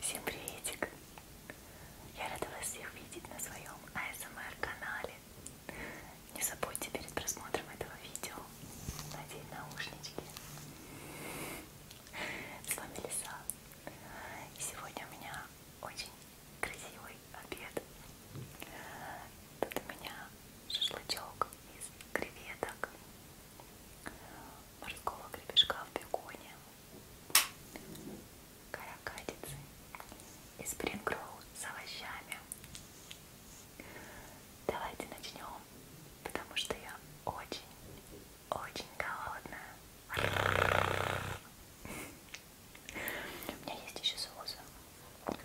Всем приветик! Я рада вас всех видеть на своем ASMR-канале. Не забудьте перед просмотром этого видео надеть наушнички. С вами Лиса. И сегодня у меня очень красивый обед. Тут у меня шашлычок из креветок, морского гребешка в беконе, каракатицы и спрингроу с овощами. Давайте начнем, потому что я очень-очень голодная. У меня есть еще соус. Вот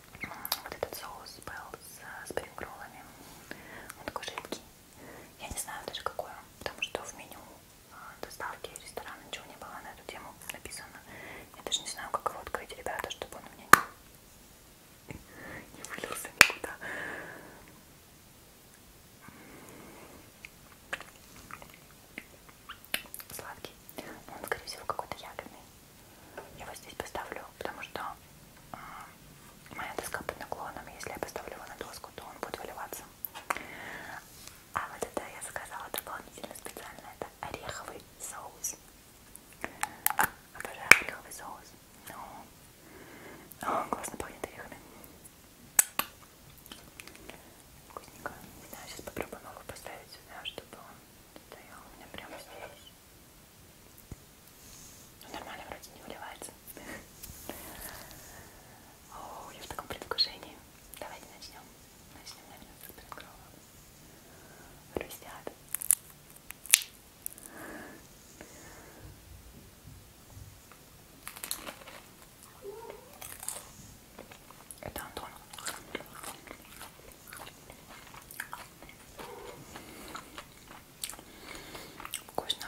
этот соус был с спрингроллами. Он такой жидкий. Я не знаю даже какое, потому что в меню а, доставки ресторана ничего не было на эту тему написано. Я даже не знаю, как его открыть, ребята, чтобы он у меня не, не вылился никуда. Сладкий. Но он, скорее всего, какой-то ягодный. Я его здесь поставлю, потому что э, моя доска под наклоном. Если я поставлю его на доску, то он будет выливаться. А вот это я заказала дополнительно специально, это ореховый соус. Обожаю ореховый соус. О, ну, ну, классно пахнет орехами. Вкусненько. Не знаю, сейчас попробую его поставить сюда, чтобы он стоял у меня прямо здесь. Ну, нормально вроде не выливается. О, я в таком предвкушении. Давайте начнем. Начнем, наверное, с откровом. Хрустят. Это Антон. Вкусно.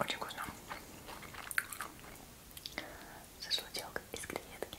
Очень вкусно. Шашлычок из креветки.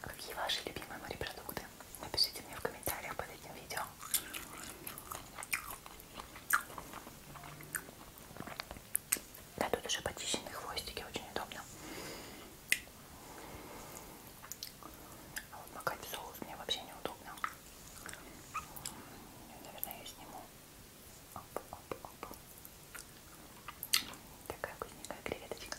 Какие ваши любимые морепродукты? Напишите мне в комментариях под этим видео. Да, тут уже почищенные хвостики, очень удобно. А вот макать в соус мне вообще неудобно. Наверное, я сниму. Оп, оп, оп. Такая вкусненькая креветочка.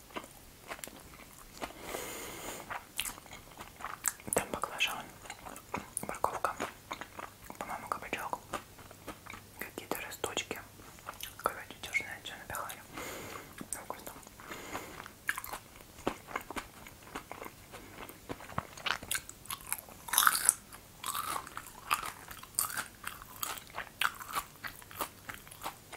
Там баклажан, морковка, по-моему, кабачок, какие-то росточки. Короче, дюжное все напихали. Вкусно.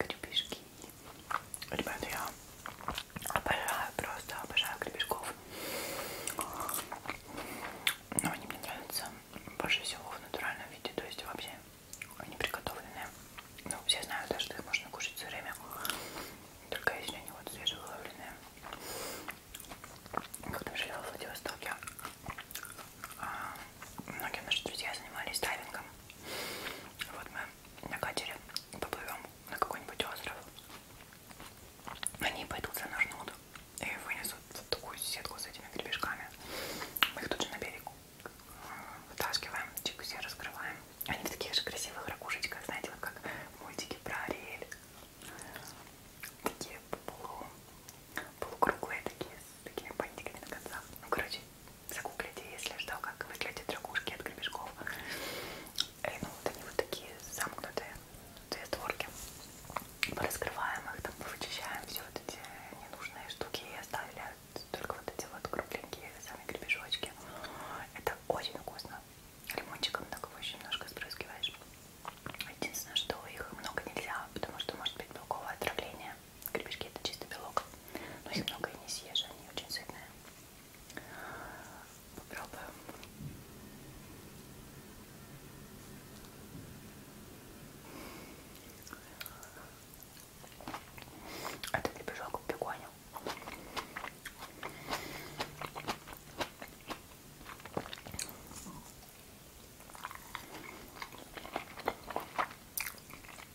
Гребешки. Ребята, я обожаю, просто обожаю гребешков. Но они мне нравятся больше всего в натуральном виде, то есть вообще они приготовленные. Ну, все знают, да, что их можно кушать все время. Только если они вот свежевыловленные. Когда жила в Владивостоке, а, многие наши друзья занимались дайвингом. Вот мы на катере поплывем на какой-нибудь остров. Они пойдут занырнут и вынесут вот такую сетку с этими гребешками. Мы их тут же на берег вытаскиваем, чик все раскрываем. Они в таких же красивых ракушечках, знаете, вот как мультики про Ариэль. Такие полу, полукруглые такие, с такими бантиками на концах. Ну, короче, загуглите, если что, как выглядят ракушки от гребешков. И, э, ну, вот они вот такие замкнутые, две створки. Раскрываем их, там вычищаем все вот эти ненужные штуки и оставили только вот эти вот кругленькие сами гребешочки. Это очень вкусно. Лимончиком так его очень немножко спрыскиваешь. Единственное, что их много нельзя, потому что может быть белковое отравление. Гребешки это чисто белок. Но их много и не съешь, они очень сытные. Попробуем. Это а гребешок в беконе.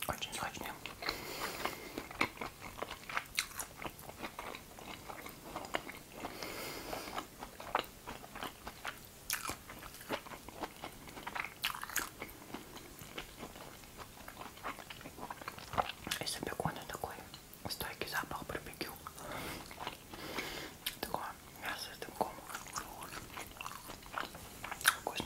Очень сочный. Из-за бекона такой стойкий запах барбекю. Такое мясо с дымком. Вкусно.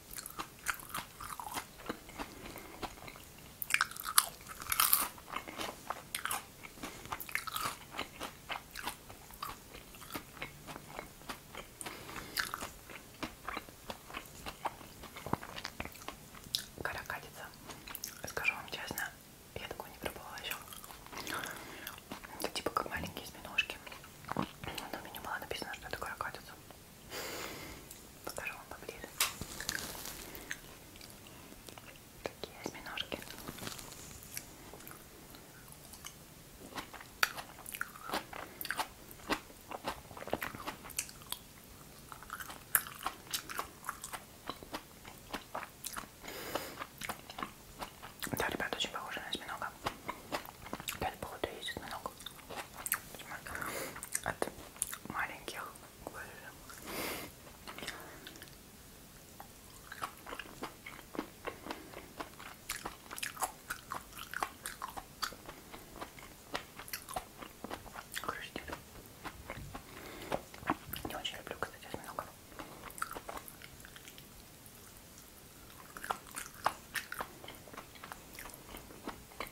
Каракатица. Скажу вам честно, я такого не пробовала еще. Это типа как маленькие осьминожки. Но у меня было написано, что это каракатица. Покажу вам поближе. Такие осьминожки. Да, ребят, очень похоже на осьминога. Опять походу ездит много. От маленьких Короче, не очень люблю, кстати, осьминогов.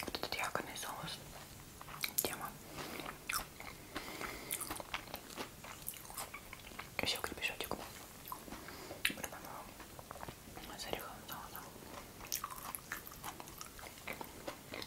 Вот этот якобы соус. Тема. Еще крепешочек. С ореховым соусом.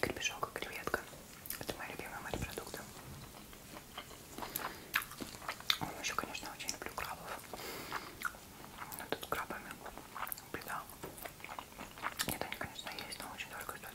Крепешок и креветка. Это моя любимая морепродукты. Еще, конечно, очень люблю крабов. Но тут крабами беда. Нет, они, конечно, есть, но очень дорого стоят.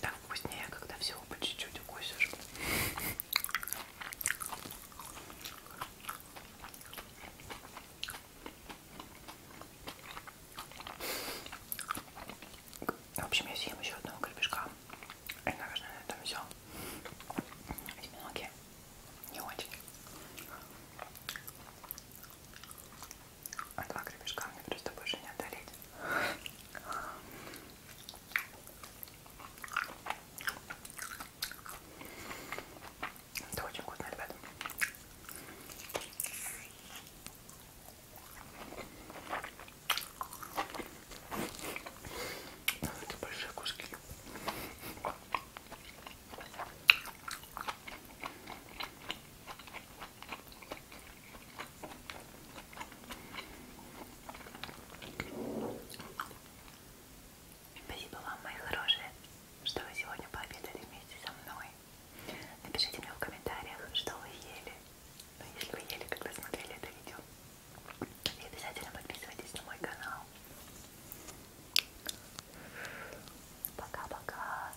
Так вкуснее, когда всего по чуть-чуть укусишь. В общем, я съем еще одного гребешка. И, наверное, на этом все. Осьминоги не очень. А два гребешка мне просто больше не одолеть. Это очень вкусно, ребята. Это большие куски. Спасибо вам, мои хорошие, что вы сегодня пообедали вместе со мной. Напишите мне в комментариях, что вы ели. Ну, если вы ели, когда смотрели это видео. И обязательно подписывайтесь на мой канал. Пока-пока.